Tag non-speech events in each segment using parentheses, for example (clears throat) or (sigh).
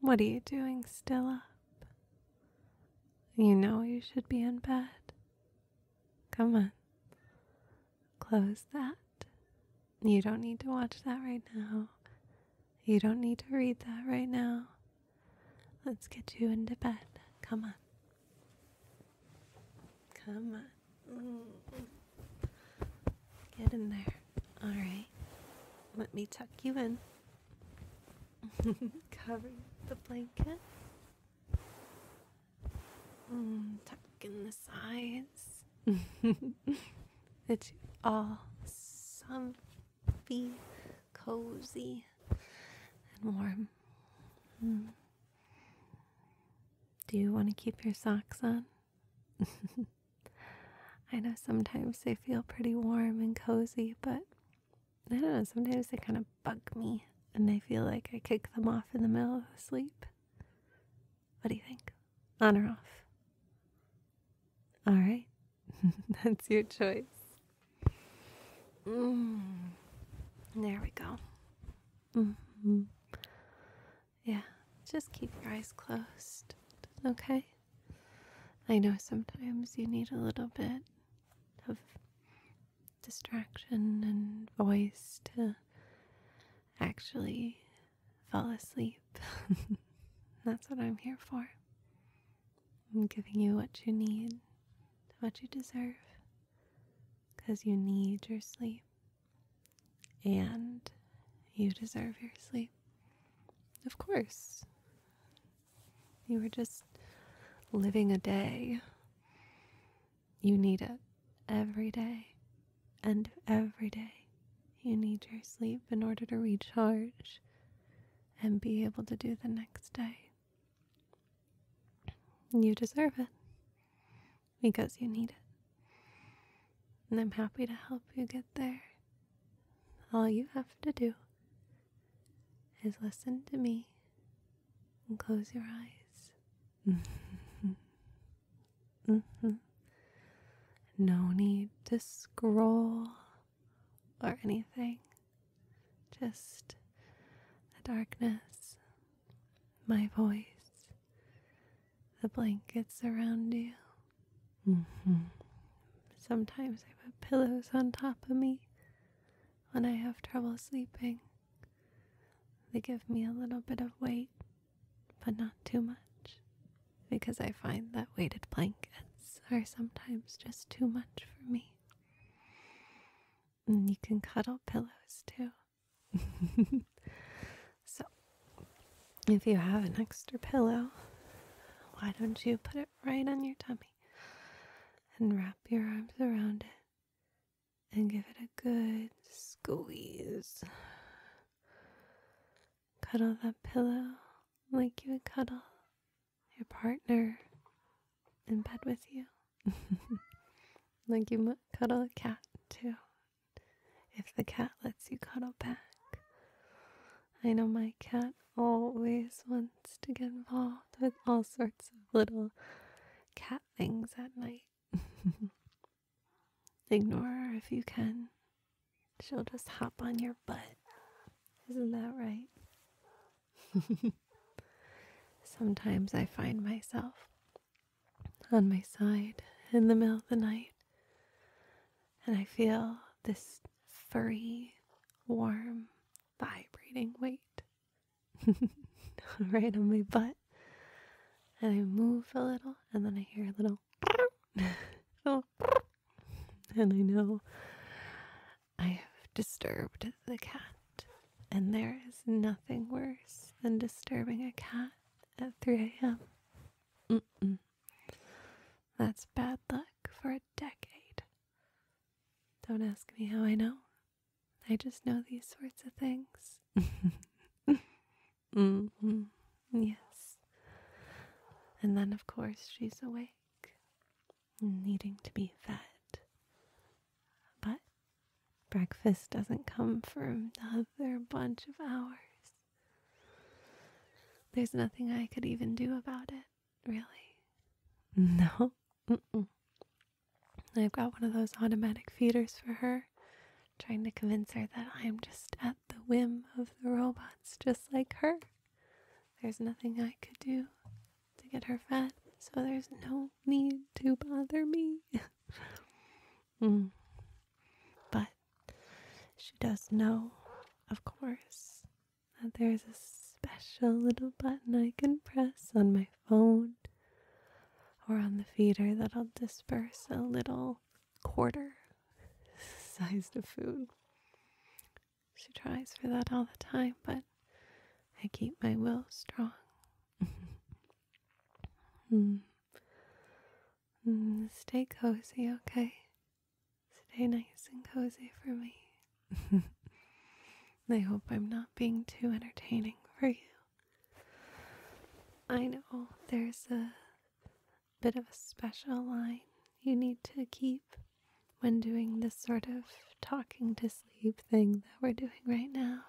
What are you doing still up? You know you should be in bed. Come on. Close that. You don't need to watch that right now. You don't need to read that right now. Let's get you into bed. Come on. Come on. Get in there. All right. Let me tuck you in. (laughs) Cover the blanket. Mm, tuck in the sides. (laughs) it's all comfy, cozy, and warm. Mm. Do you want to keep your socks on? (laughs) I know sometimes they feel pretty warm and cozy, but I don't know, sometimes they kind of bug me and I feel like I kick them off in the middle of sleep. What do you think? On or off? All right, (laughs) that's your choice. Mm, there we go. Mm-hmm. Yeah, just keep your eyes closed, okay? I know sometimes you need a little bit of distraction and voice to actually fall asleep. (laughs) That's what I'm here for. I'm giving you what you need, what you deserve, because you need your sleep and you deserve your sleep. Of course. You were just living a day. You need it every day. And every day, you need your sleep in order to recharge and be able to do the next day. You deserve it because you need it. And I'm happy to help you get there. All you have to do is listen to me and close your eyes. (laughs) Mm-hmm. Mm-hmm. No need to scroll or anything. Just the darkness, my voice, the blankets around you. Mm-hmm. Sometimes I put pillows on top of me when I have trouble sleeping. They give me a little bit of weight, but not too much, because I find that weighted blankets are sometimes just too much for me. And you can cuddle pillows too. (laughs) So, if you have an extra pillow, why don't you put it right on your tummy and wrap your arms around it and give it a good squeeze? Cuddle that pillow like you would cuddle your partner in bed with you, (laughs) like you might cuddle a cat, too if the cat lets you cuddle back. I know my cat always wants to get involved with all sorts of little cat things at night. (laughs) Ignore her if you can. She'll just hop on your butt. Isn't that right? (laughs) Sometimes I find myself on my side in the middle of the night and I feel this furry, warm, vibrating weight (laughs) right on my butt. And I move a little, and then I hear a little, (laughs) (laughs) and I know I have disturbed the cat. And there is nothing worse than disturbing a cat at 3 a.m. That's bad luck for a decade. Don't ask me how I know. I just know these sorts of things. (laughs) Mm-hmm. Yes. And then, of course, she's awake, needing to be fed. But breakfast doesn't come for another bunch of hours. There's nothing I could even do about it, really. (laughs) No. I've got one of those automatic feeders for her, trying to convince her that I'm just at the whim of the robots, just like her. There's nothing I could do to get her fed, so there's no need to bother me. (laughs) Mm. But she does know, of course, that there's a special little button I can press on my phone or on the feeder that'll disperse a little quarter (laughs) sized of food. She tries for that all the time, but I keep my will strong. (laughs) Hmm. Mm, stay cozy, okay? Stay nice and cozy for me. (laughs) I hope I'm not being too entertaining for you. I know there's a bit of a special line you need to keep when doing this sort of talking to sleep thing that we're doing right now.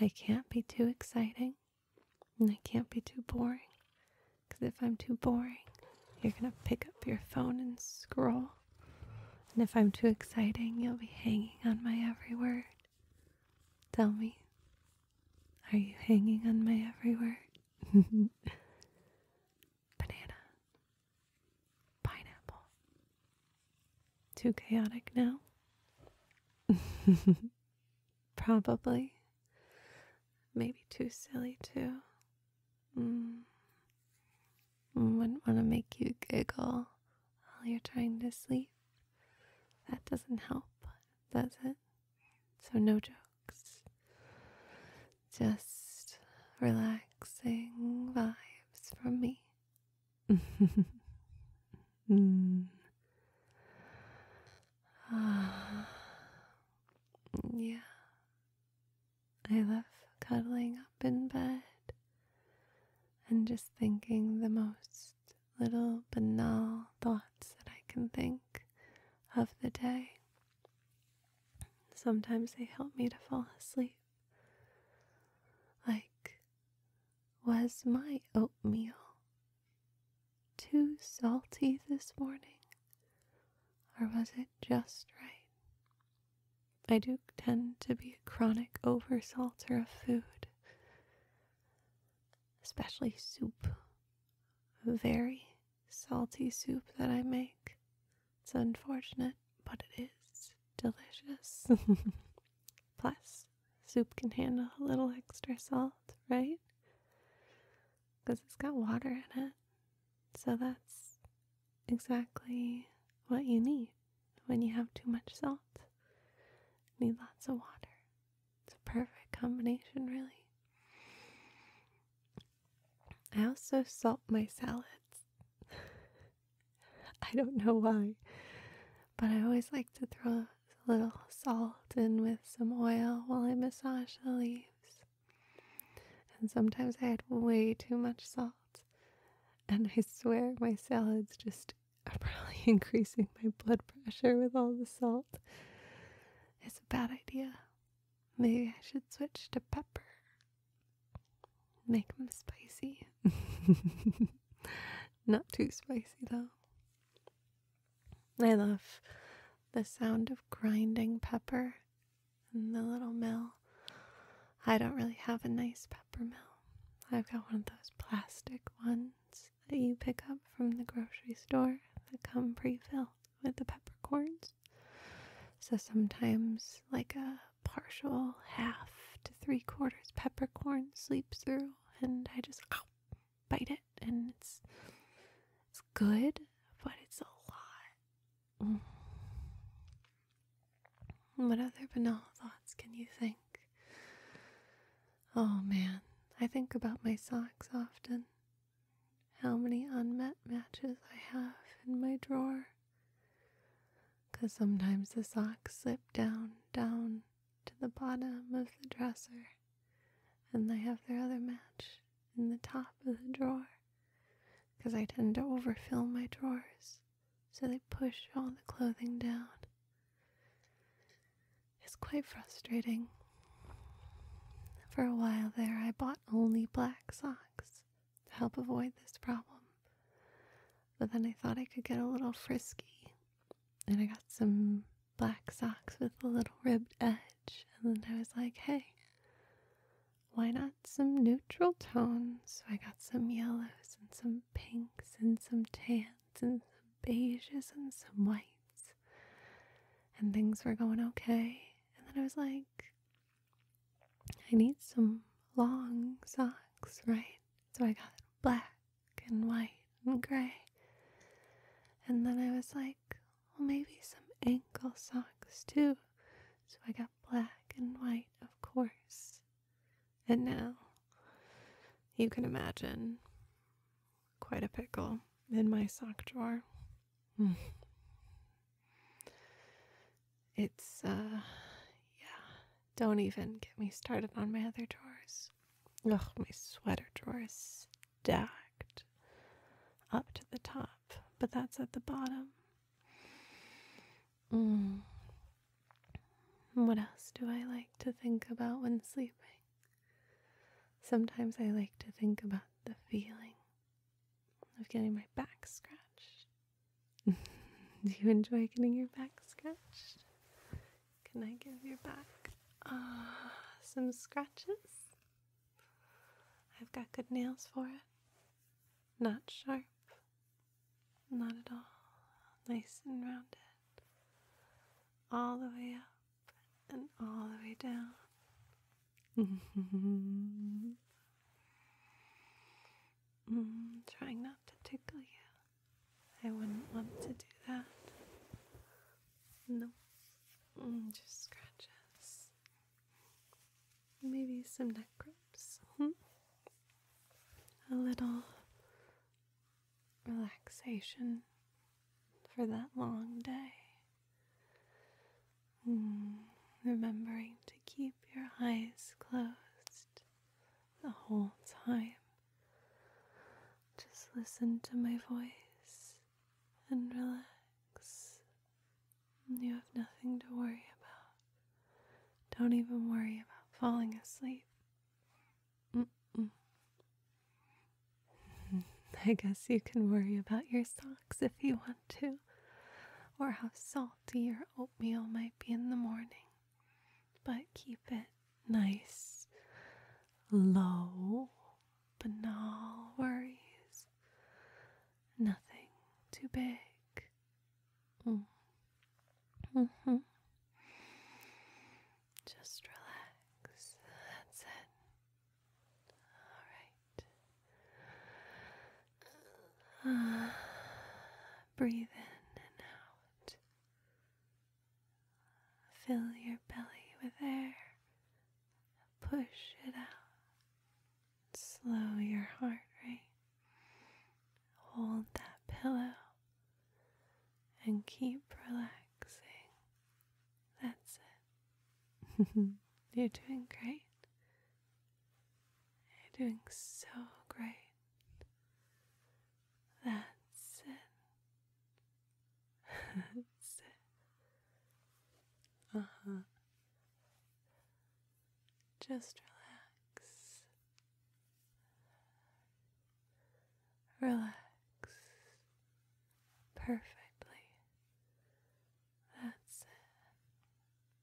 I can't be too exciting. And I can't be too boring. Because if I'm too boring, you're going to pick up your phone and scroll. And if I'm too exciting, you'll be hanging on my every word. Tell me, are you hanging on my every word? (laughs) Banana. Pineapple. Too chaotic now? (laughs) Probably. Maybe too silly, too. Mm. Mm, wouldn't want to make you giggle while you're trying to sleep. That doesn't help, does it? So, no jokes. Just relaxing vibes from me. (laughs) Mm. (sighs) Yeah. I love cuddling up in bed and just thinking the most little banal thoughts that I can think of the day. Sometimes they help me to fall asleep. Like, was my oatmeal too salty this morning? Or was it just right? I do tend to be a chronic oversalter of food, especially soup. very salty soup that I make. It's unfortunate, but it is delicious. (laughs) Plus, soup can handle a little extra salt, right? Because it's got water in it. So that's exactly what you need when you have too much salt. need lots of water. It's a perfect combination, really. I also salt my salads. (laughs) I don't know why, but I always like to throw a little salt and with some oil while I massage the leaves. And sometimes I add way too much salt. And I swear my salads just are probably (laughs) increasing my blood pressure with all the salt. It's a bad idea. Maybe I should switch to pepper. Make them spicy. (laughs) Not too spicy though. I love the sound of grinding pepper in the little mill. I don't really have a nice pepper mill. I've got one of those plastic ones that you pick up from the grocery store that come pre filled with the peppercorns. So sometimes, like a partial half to three quarters peppercorn sleeps through and I just ow, (clears throat) bite it, and it's it's good, but it's a lot. Mm. What other banal thoughts can you think? Oh man, I think about my socks often. How many unmet matches I have in my drawer. Because sometimes the socks slip down, down, to the bottom of the dresser, and they have their other match in the top of the drawer because I tend to overfill my drawers, so they push all the clothing down. It's quite frustrating. For a while there, I bought only black socks to help avoid this problem. But then I thought I could get a little frisky and I got some black socks with a little ribbed edge. And then I was like, hey, why not some neutral tones? So I got some yellows and some pinks and some tans and some beiges and some whites. And things were going okay. And then I was like, I need some long socks, right? So I got black and white and gray. And then I was like, well, maybe some ankle socks too. So I got black and white, of course. And now, you can imagine quite a pickle in my sock drawer. Mm. It's, uh, yeah, don't even get me started on my other drawers drawers. Oh, my sweater drawer is stacked up to the top, but that's at the bottom. Hmm. What else do I like to think about when sleeping? Sometimes I like to think about the feeling of getting my back scratched. (laughs) do you enjoy getting your back scratched? Can I give your back uh, some scratches? I've got good nails for it. Not sharp, not at all. Nice and rounded. All the way up and all the way down. (laughs) mm, trying not to tickle you. I wouldn't want to do that. No, mm, just scratches. Maybe some neck rubs. Hmm. A little relaxation for that long day. Mm, remembering to keep your eyes closed the whole time. Just listen to my voice and relax. You have nothing to worry about. Don't even worry about falling asleep. (laughs) I guess you can worry about your socks if you want to, or how salty your oatmeal might be in the morning but keep it nice, low, banal worries. Nothing too big. Mm. Mm-hmm. Just relax. That's it. All right. (sighs) breathe in and out. Fill your belly with air. Push it out. Slow your heart rate. Hold that pillow and keep relaxing. That's it. (laughs) You're doing great. You're doing so great. That's it. That's it. Uh huh. Just relax. Relax. Perfectly. That's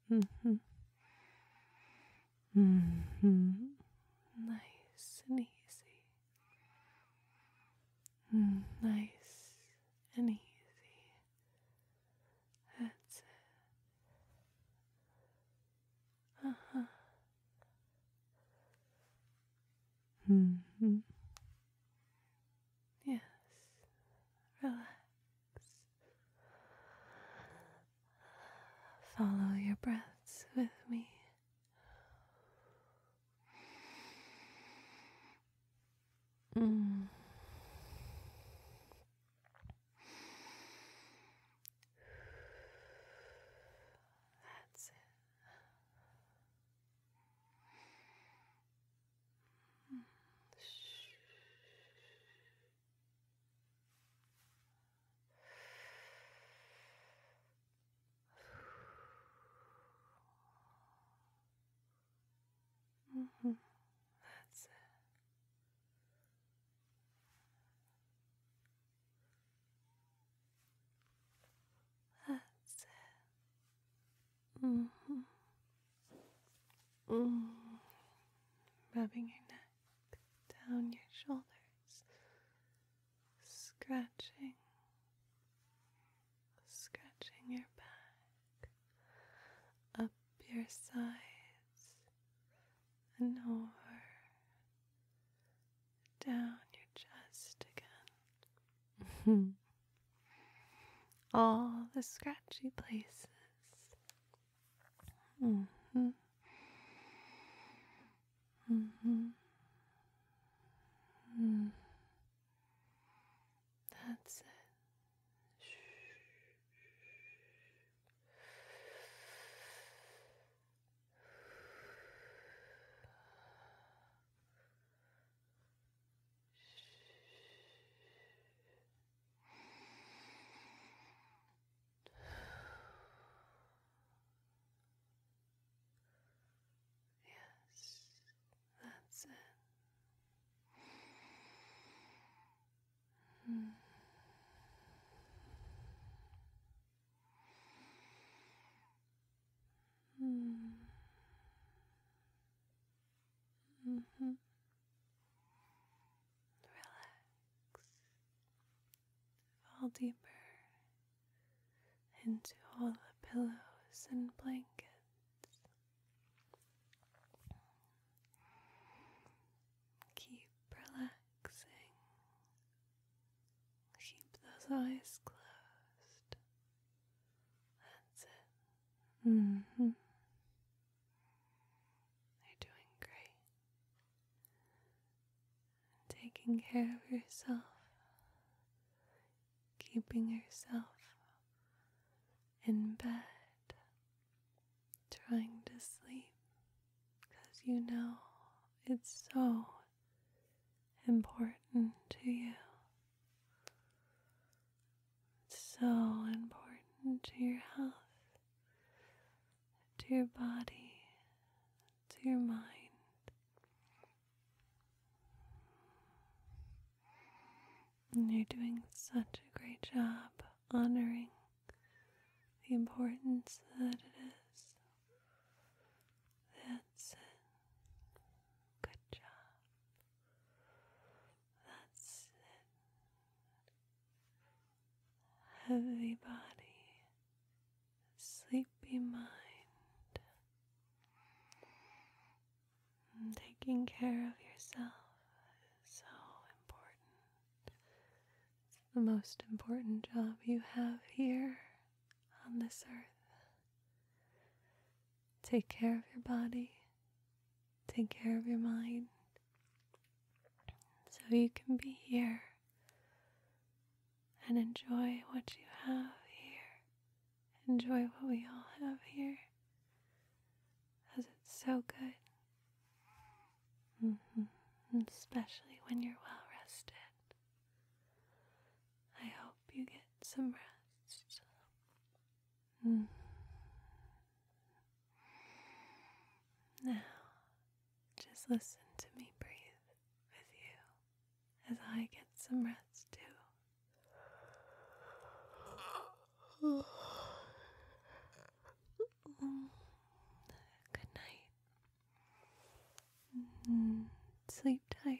it. Mm hmm. Mm-hmm. Nice and easy. Mm, nice and easy. That's it. Uh huh. hmm Yes. Relax. Follow your breaths with me. Mm. That's it. Mm. -hmm. That's it. That's it. Mm -hmm. Mm-hmm. Rubbing your neck down your shoulders, scratching, scratching your back, up your sides, and over, down your chest again. (laughs) All the scratchy places. Mm-hmm. hmm That's it. Shh. Yes, that's it. Mm. Mm. hmm, hmm. hmm relax, fall deeper into all the pillows and blankets. Keep relaxing. Keep those eyes closed. That's it. Mm -hmm. You're doing great. Taking care of yourself, keeping yourself in bed, trying to sleep because you know it's so important to you. It's so important to your health to your body, to your mind. And you're doing such a great job honoring the importance that it is. That's it. Good job. That's it heavy body, sleepy mind, taking care of yourself is so important. It's the most important job you have here on this earth. Take care of your body, Take care of your mind so you can be here and enjoy what you have here. Enjoy what we all have here because it's so good. Mm-hmm. Especially when you're well rested. I hope you get some rest. Hmm. Now, just listen to me breathe with you as I get some rest too. Good night. Hmm. Sleep tight.